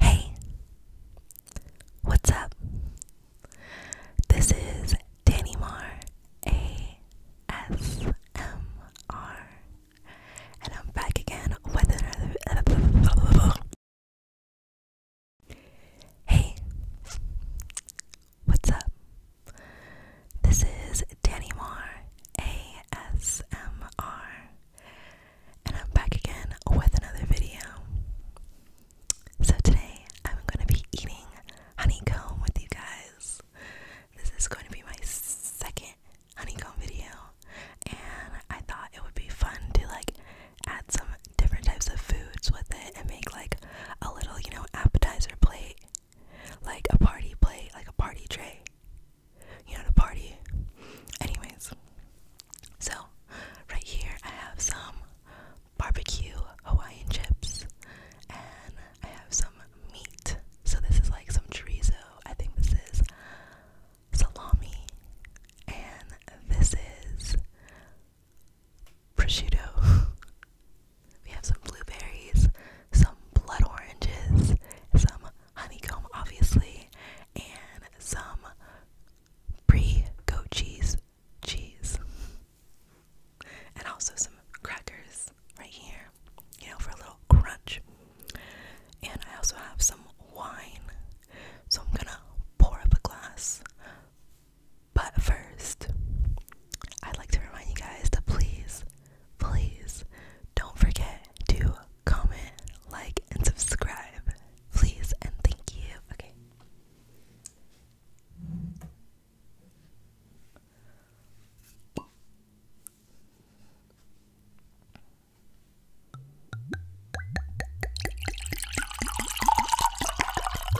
Hey, what's up? This is Danny Mar ASMR, and I'm back again with another. Hey, what's up? This is Danny Moore ASMR, and I'm back again with another video. So, today I'm going to be eating honeycomb with you guys. This is going to be my second honeycomb video, and I thought it would be fun to like add some different types of foods with it and make like a little, you know, appetizer plate like a party plate, like a party tray. You know, to party. Anyways, so right here I have some barbecue Hawaiian chips and I have some meat. So this is like some chorizo. I think this is salami and this is prosciutto. We have some blueberries, some blood oranges, some honeycomb, obviously, and some brie goat cheese cheese. And also some crackers right here, you know, for a little crunch. And I also have some wine. So I'm gonna pour up a glass. But first, I'd like to remind you guys to please, please don't forget to comment, like, and subscribe. Please and thank you. Okay.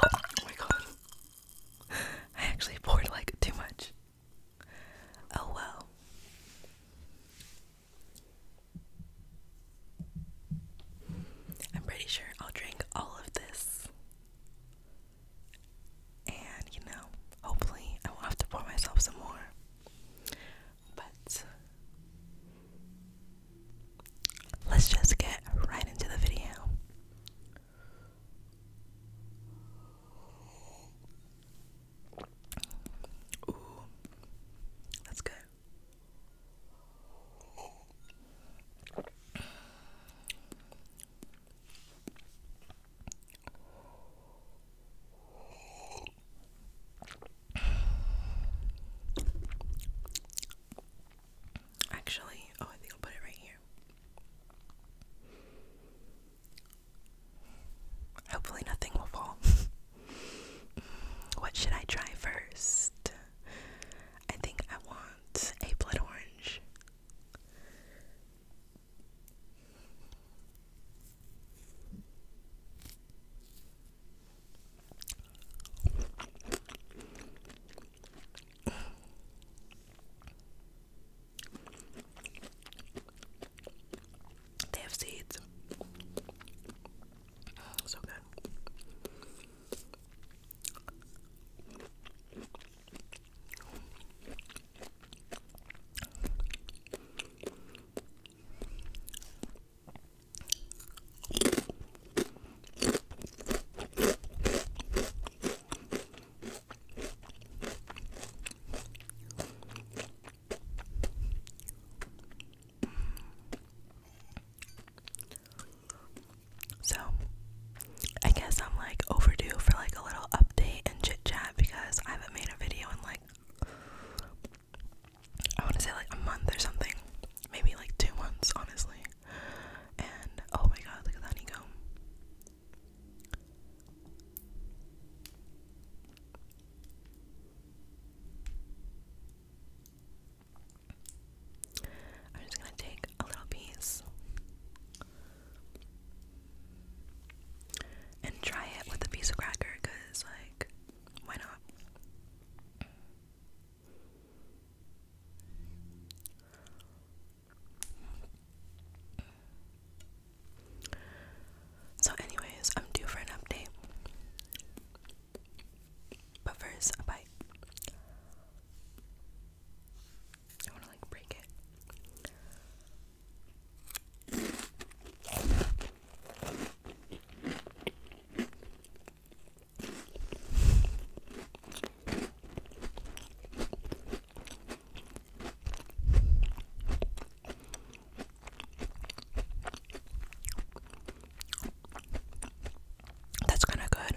Oh my god. I actually poured like too much. Oh well. I'm pretty sure I'll drink all of this. And, you know, hopefully I won't have to pour myself some more. But let's just get right into the video. Ooh, that's good. Actually, oh, I think I'll put it right here. Hopefully, nothing will fall. what should I try first? I think I want a blood orange. They have seeds. So good. So, I guess I'm like overdue for like a little update and chit chat because I haven't made a video in like I want to say like a month or something, maybe like two months, honestly. And oh my god, look at that honeycomb! I'm just going to take a little piece and try it with a piece of cracker because, like, why not? So, anyways, I'm due for an update. But first, a bite. I want to like break it. That's kind of good.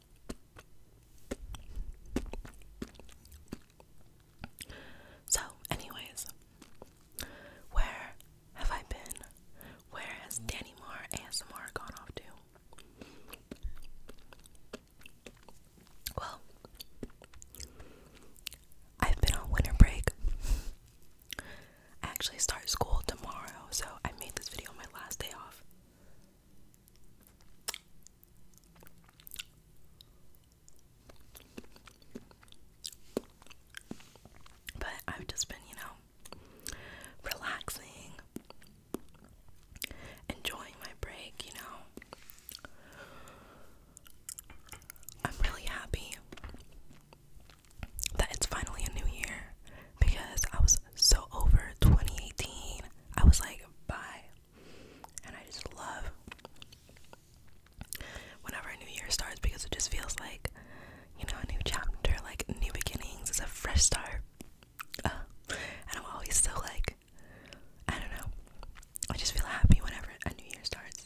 So, anyways, where have I been? Where has Danny Moore ASMR gone off to? Well, I've been on winter break. I actually start school tomorrow, so I made this video my last day off. But I've just been, you know, relaxing, enjoying my break, you know. I'm really happy that it's finally a new year because I was so over 2018. I was like, bye, and I just love whenever a new year starts because it just feels like you know a new chapter, like new beginnings. It's a fresh start, and I'm always so like I don't know. I just feel happy whenever a new year starts.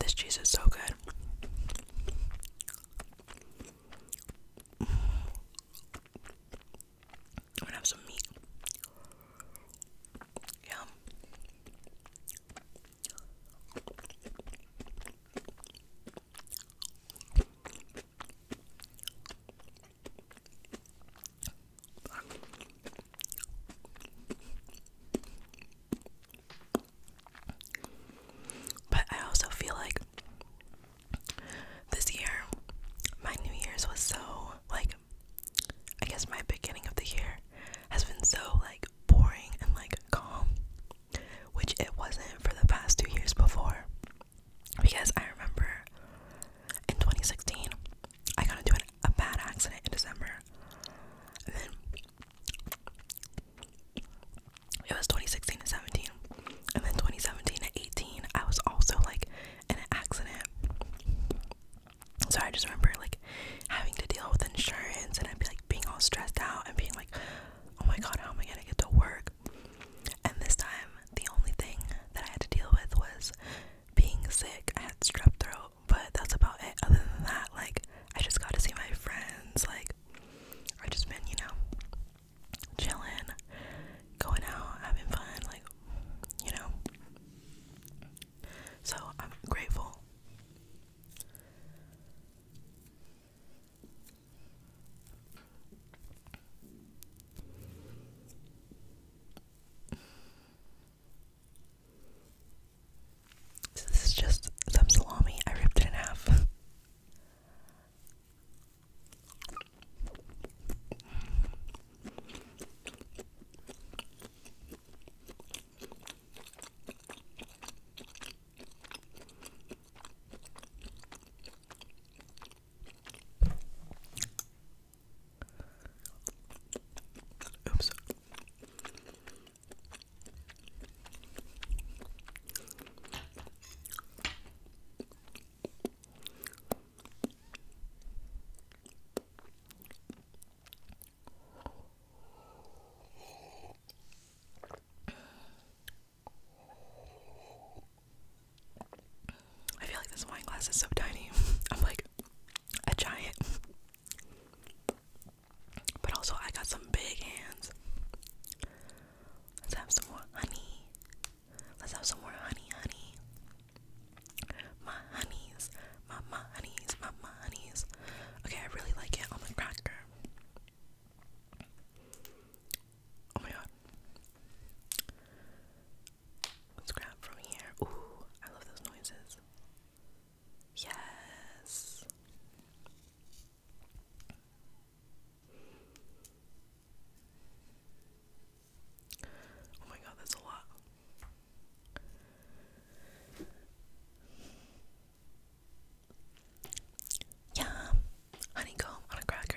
This cheese is so good. I'm gonna have some meat. Yum. But I also feel like this year, my New Year's was so, like, I guess my beginning of the year has been so, like, boring and, like, calm, which it wasn't for the past two years before. Because I remember in 2016, I got into a bad accident in December. It was 2016 and 17. And then 2017 and 18, I was also like in an accident. So I just remember like having to deal with insurance and I'd be like being all stressed out and being like, oh my god, how am I gonna get to work? And this time, the only thing that I had to deal with was being sick. I had strep throat but that's about it. Other than that, like I just got to see my friends. Like I just been, you know, chilling, going out, having fun. Like you know. So I'm grateful this is just some salami. I ripped it in half. Oops. I feel like this wine glass is so tiny. I'm like a giant But also, I got some big hands. Let's have some more honey. Let's have some more honey, honey. My honeys, my my honeys, my my honeys. Okay, I really like it on the cracker. Oh my god. Let's grab from here. Ooh, I love those noises. Yes. Oh my god, that's a lot. Yeah, honeycomb on a cracker.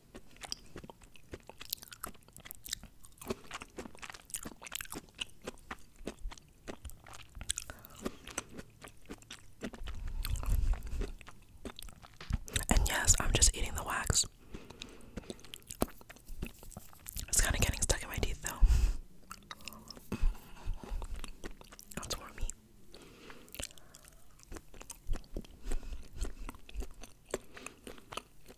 And yes, I'm just eating the wax. It's kind of getting stuck in my teeth though. That's warm meat.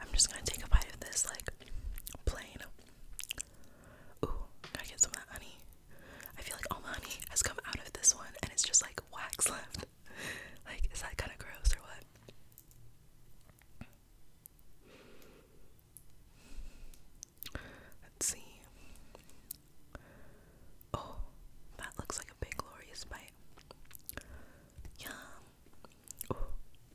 I'm just gonna take a bite of this like plain. Ooh, gotta get some of that honey. I feel like all the honey has come out of this one and it's just like wax left. Like, is that kind of gross or what? Let's see. Oh, that looks like a big glorious bite. Yum.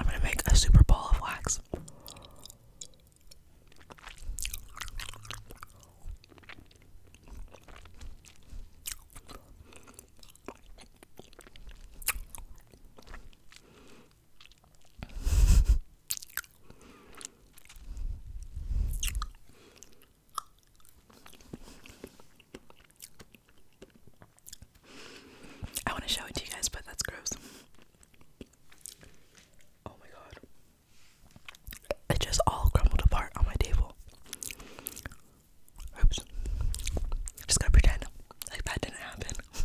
I'm going to make a super ball of wax. I want to show it to you guys, but that's gross. Oh my god. It just all crumbled apart on my table. Oops. Just gotta pretend like that didn't happen.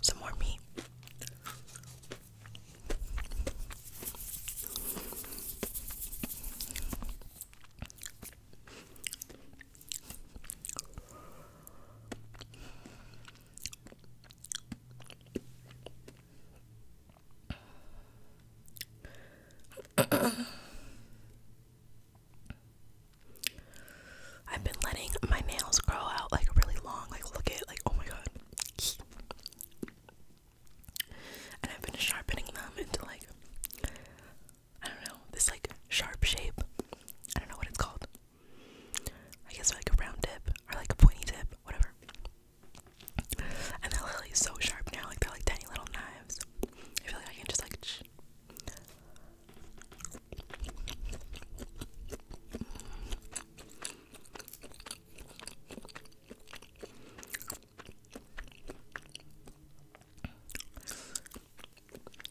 Some more meat. I've been letting my nails grow out like really long. Like, look at, like, oh my god. And I've been sharpening them into like I don't know, this like sharp shape. I don't know what it's called. I guess like a round tip or like a pointy tip, whatever. And they're literally so sharp now, like they're like tiny little knives. I feel like I can just like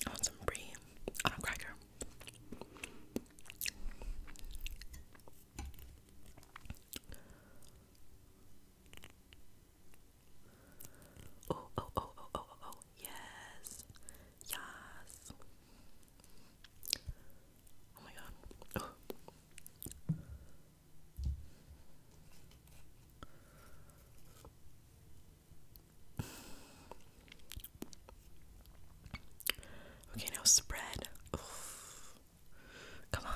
I some brie on a cracker. oh, oh, oh, oh, oh, oh, oh. yes, yes. Oh my god. Okay, now spread. Come on,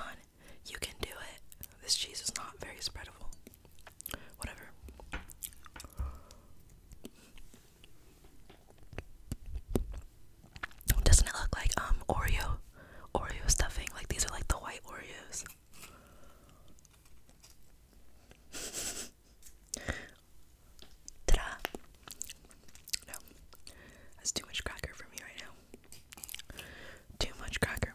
you can do it. This cheese is not very spreadable. Whatever. Doesn't it look like um Oreo Oreo stuffing? Like these are like the white Oreos. Ta-da! No. That's too much cracker for me right now. Too much cracker.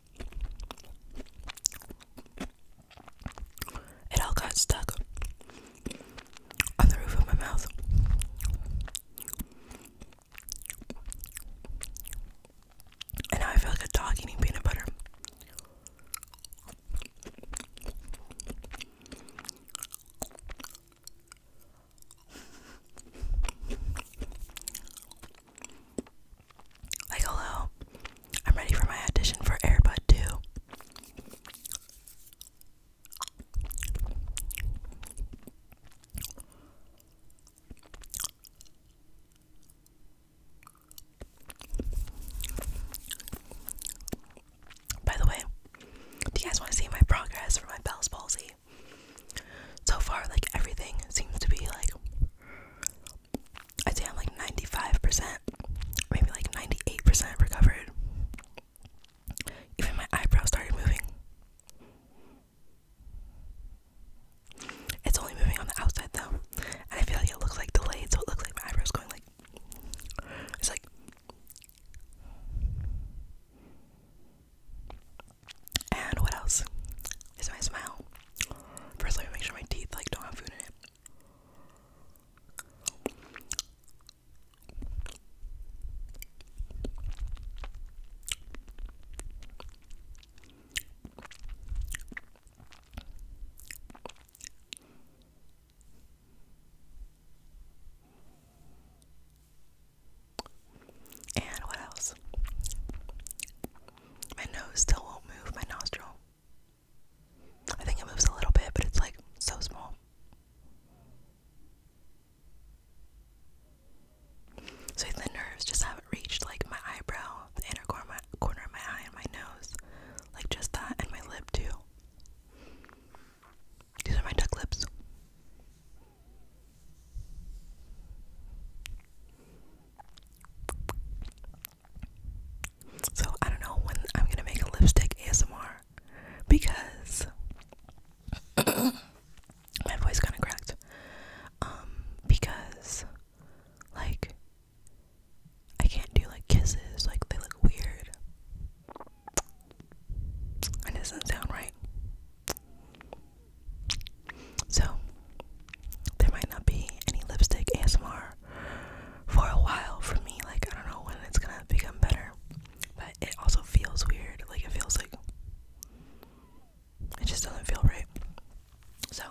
It all got stuck on the roof of my mouth. And now I feel like a dog eating peanut butter. Like, hello, I'm ready for my audition for Airbud 2. By the way, do you guys want to see my progress for my Bell's palsy? So far, like everything seems to be like I'd say I'm like 95%, maybe like 98% recovered. Even my eyebrows started moving. It's only moving on the outside though. And I feel like it looks like delayed, so it looks like my eyebrow's going like it's like and what else? Is my smile. First let me make sure my teeth like don't have food in it. And what else? My nose still won't move, my nostril. I think it moves a little bit, but it's like so small. So the nerves just haven't reached like my eyebrow, the inner corner of my, eye, and my nose. Like just that, and my lip too. These are my duck lips. So I don't know when I'm gonna make a lipstick ASMR because my voice kind of cracked. Um, because like I can't do like kisses, like they look weird. It doesn't sound right. So there might not be any lipstick ASMR for a while for me. Like, I don't know when it's gonna become better. But it also feels weird. Like, it feels like it just doesn't feel right. So,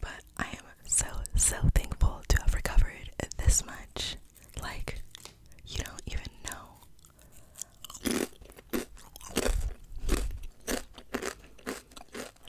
but I am so, so thankful to have recovered this much. Like, you don't even know.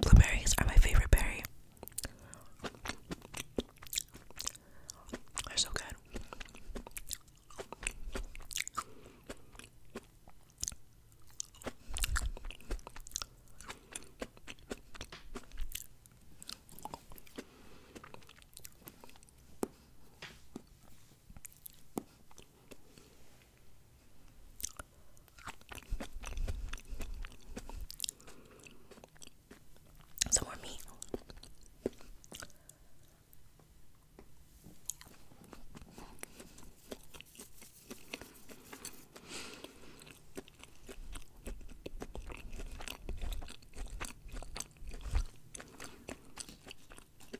Blueberries are my favorite berry. They're so good. Some more meat.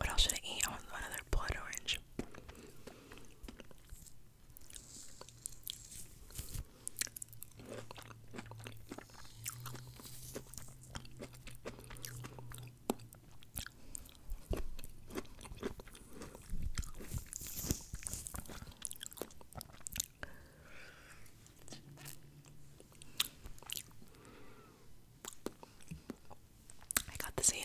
What else should I eat? I oh, want another blood orange. I got the scene.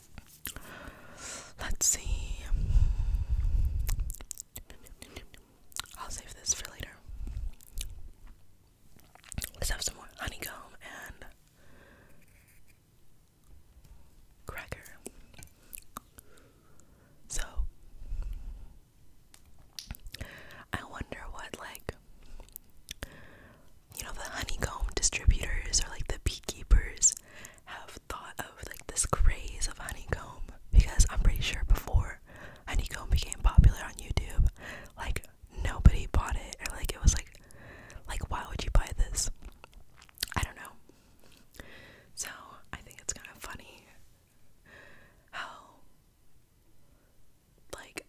Let's see. I'll save this for later. Let's have some more honeycomb and cracker. So, I wonder what, like, you know, the honeycomb distributors or like the beekeepers have have thought of like this craze of honeycomb because I'm pretty sure before honeycomb became popular on YouTube, like nobody bought it or like it was like like why would you buy this? I don't know. So I think it's kind of funny how like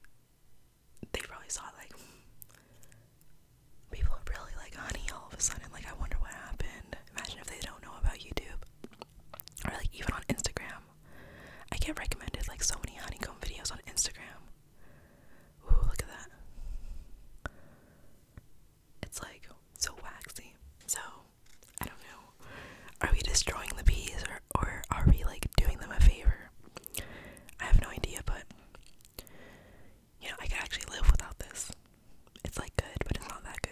they probably saw like People really like honey all of a sudden. Like, I wonder what happened. Imagine if they don't know about YouTube or like even on Instagram. I get recommended like so many honeycomb videos on Instagram. Ooh, look at that. It's like so waxy. So, I don't know. Are we destroying the bees or, or are we like doing them a favor? I have no idea, but you know, I could actually live without this. It's like good, but it's not that good.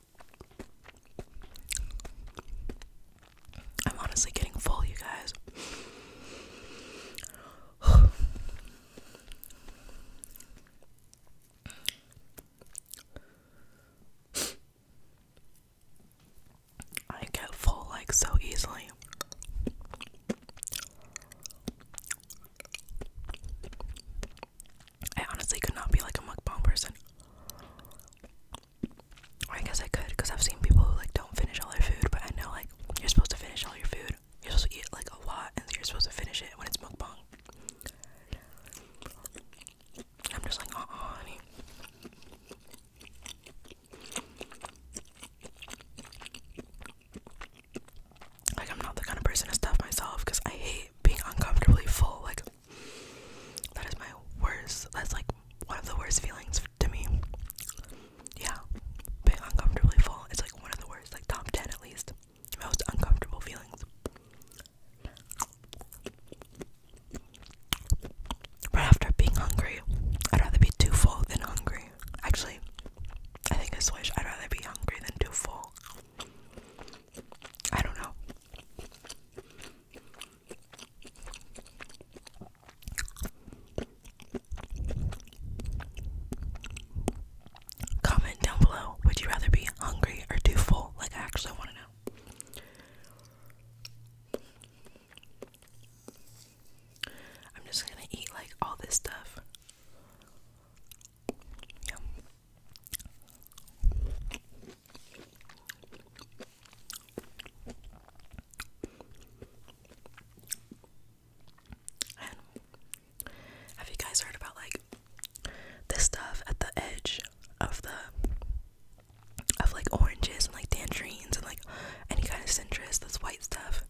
I'm honestly getting full, you guys. I get full like so easily. I honestly could not be like a mukbang person. I guess I could, because I've seen people who like don't finish all their food, but I know like you're supposed to finish all your food. You're supposed to eat like a lot, and you're supposed to finish it when it's mukbang. I'm just like, uh, honey. Like I'm not the kind of person to stuff myself, because I hate being uncomfortably full. Like that is my worst. That's like one of the worst feelings to me. Yeah, being uncomfortably full. It's like one of the worst, like top ten at least, most uncomfortable feelings. Right after being hungry, I'd rather be too full than hungry. Actually, I think I switch. I'd rather be hungry than too full. I don't know. Comment down below. Would you rather be hungry or too full? Like, I actually want to know. I'm just gonna eat like all this stuff have you guys heard about like this stuff at the edge of the of like oranges and like tangerines and like any kind of citrus, this white stuff?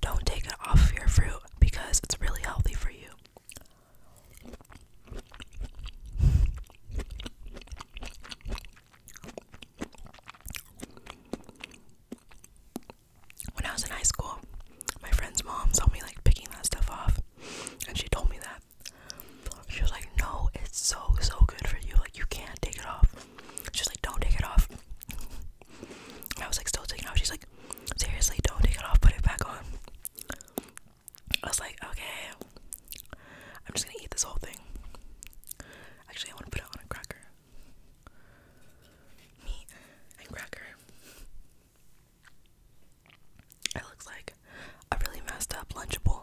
Don't take it off your fruit because it's really healthy for you. When I was in high school, my friend's mom saw me like picking that stuff off, and she told me that. She was like, No, it's so, so good for you. Like, you can't take it off. She's like, Don't take it off. I was like, Still taking it off. She's like, Seriously, don't take it off, put it back on. I was like, okay, I'm just gonna eat this whole thing. Actually, I want to put it on a cracker. Meat and cracker. It looks like a really messed up Lunchable.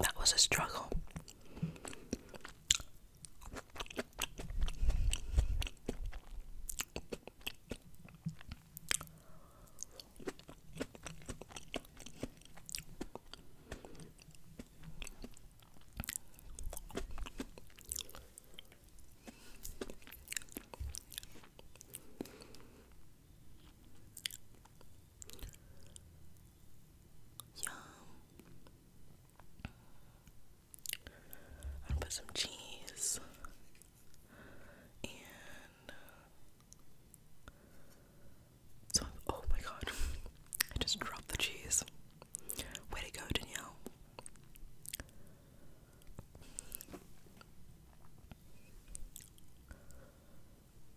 That was a struggle. Yum. I'm gonna put some cheese and uh, oh my god. I just dropped the cheese. Way to go, Danielle.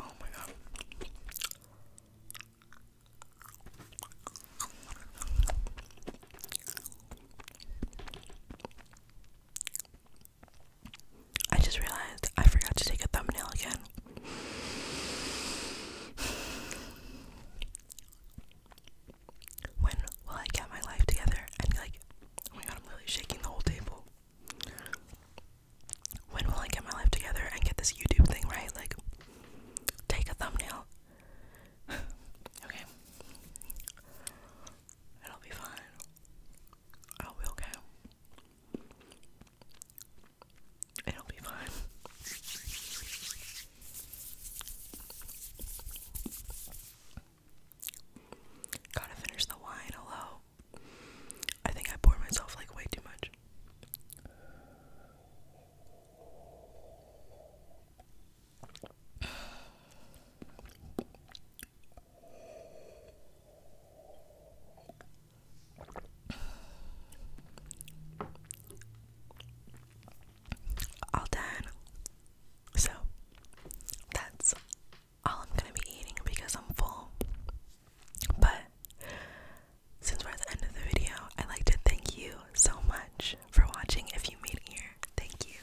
Oh my god. I just realized I forgot to take a thumbnail again. When will I get my life together and like, oh my god, I'm really shaking the whole table. When will I get my life together and get this YouTube thing right? Like, take a thumbnail. okay. It'll be fine. I'll be okay. It'll be fine. Gotta finish the wine, hello. I think I pour myself like way too much. All done. So that's all I'm gonna be eating because I'm full. But since we're at the end of the video, I'd like to thank you so much for watching. If you made it here, thank you.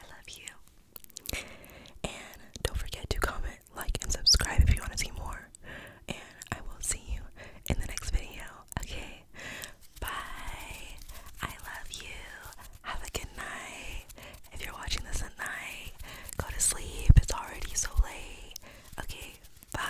I love you. And don't forget to comment, like, and subscribe if you want to see more. And I will see you in the next video. Okay? Bye. I love you. Have a good night. If you're watching this at night, go to sleep. It's already so late. Okay, bye.